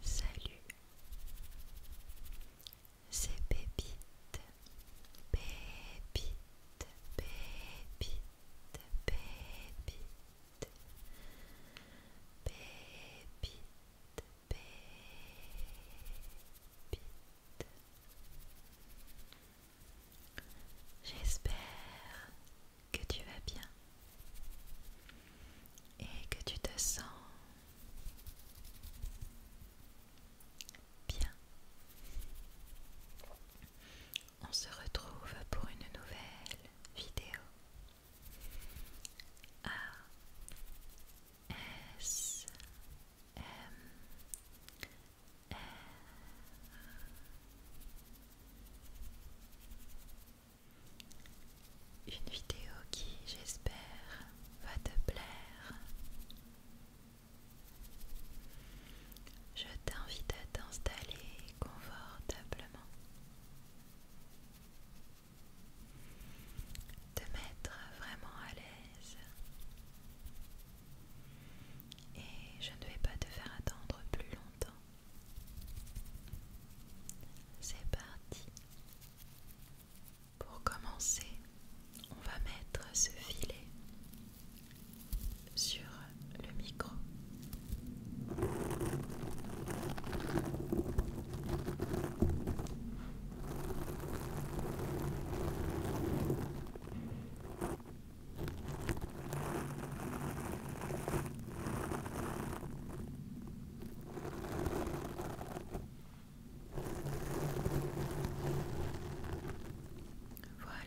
Salut, c'est Pépite, Pépite, Pépite, Pépite, Pépite, Pépite. J'espère que tu vas bien et que tu te sens bien. On se retrouve pour une nouvelle vidéo. Euh, une vidéo qui, j'espère, va te plaire. Je t'invite à t'installer confortablement, te mettre vraiment à l'aise et je ne vais pas te faire attendre plus longtemps. C'est parti. Pour commencer, on va mettre ce filet sur le micro. Voilà.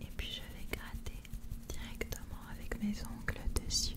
Et puis je vais gratter directement avec mes ongles dessus.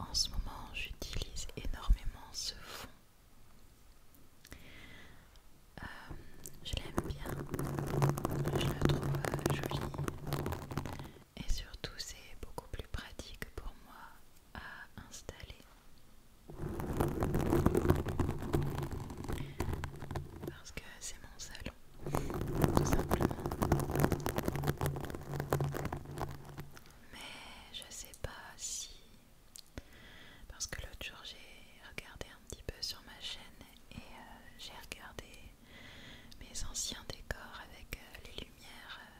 En ce moment, j'utilise énormément ce fond. Euh, je l'aime bien, je le trouve euh, joli et surtout c'est beaucoup plus pratique pour moi à installer parce que c'est mon salon tout simplement mais je sais pas si parce que l'autre jour j'ai regardé un petit peu sur ma chaîne et euh, j'ai regardé mes anciens décors avec euh, les lumières euh,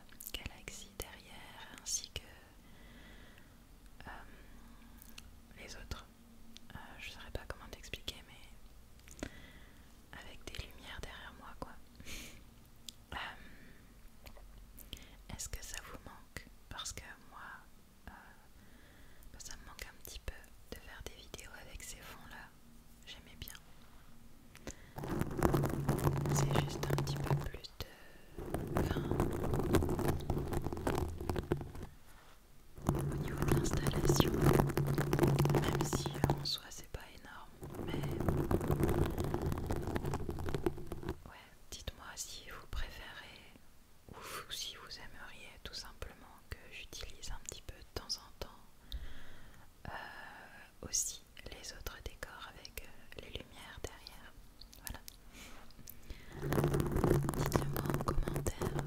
galaxies derrière ainsi que euh, les autres. je saurais pas comment t'expliquer, mais avec des lumières derrière moi, quoi. Est-ce que ça vous manque Parce que moi, bah, ça me manque un petit peu de faire des vidéos avec ces fonds-là j'aimais bien. C'est juste un petit peu plus de. au niveau de l'installation, même si en soi c'est pas énorme, mais. Ouais, dites-moi si vous préférez ou si vous aimeriez tout simplement que j'utilise un petit peu de temps en temps. Euh, aussi les autres décors avec euh, les lumières derrière. Voilà. Dites-le-moi en commentaire.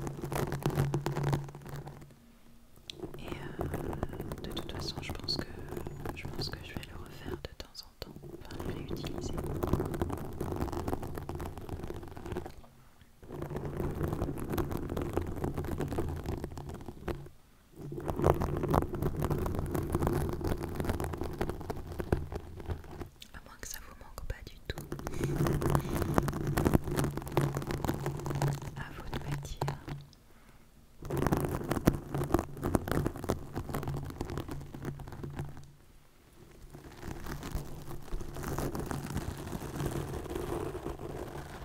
Et euh, de toute façon, je pense que je pense que je vais le refaire de temps en temps, enfin le réutiliser. À moins que ça vous manque pas du tout. À vous de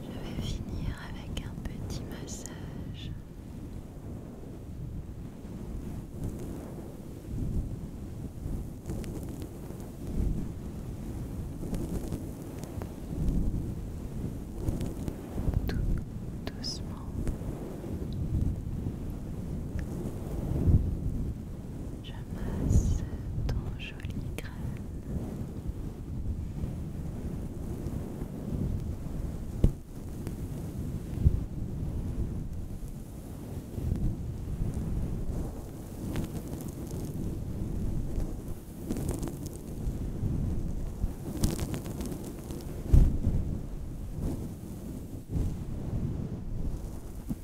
Je vais finir avec un petit massage. Tout doucement. Je masse ton joli crâne.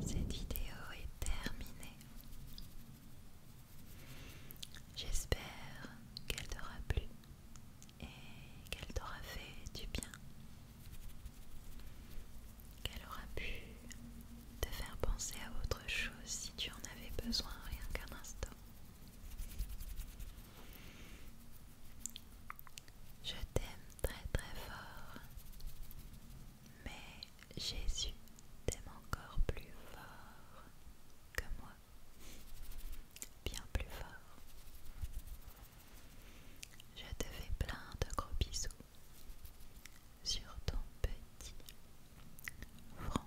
Cette vidéo est terminée. J'espère qu'elle t'aura plu et qu'elle t'aura fait du bien. Qu'elle aura pu te faire penser à autre chose si tu en avais besoin rien qu'un instant. Je t'aime très très fort, mais Jésus t'aime encore plus fort que moi, bien plus fort. Je te fais plein de gros bisous sur ton petit front.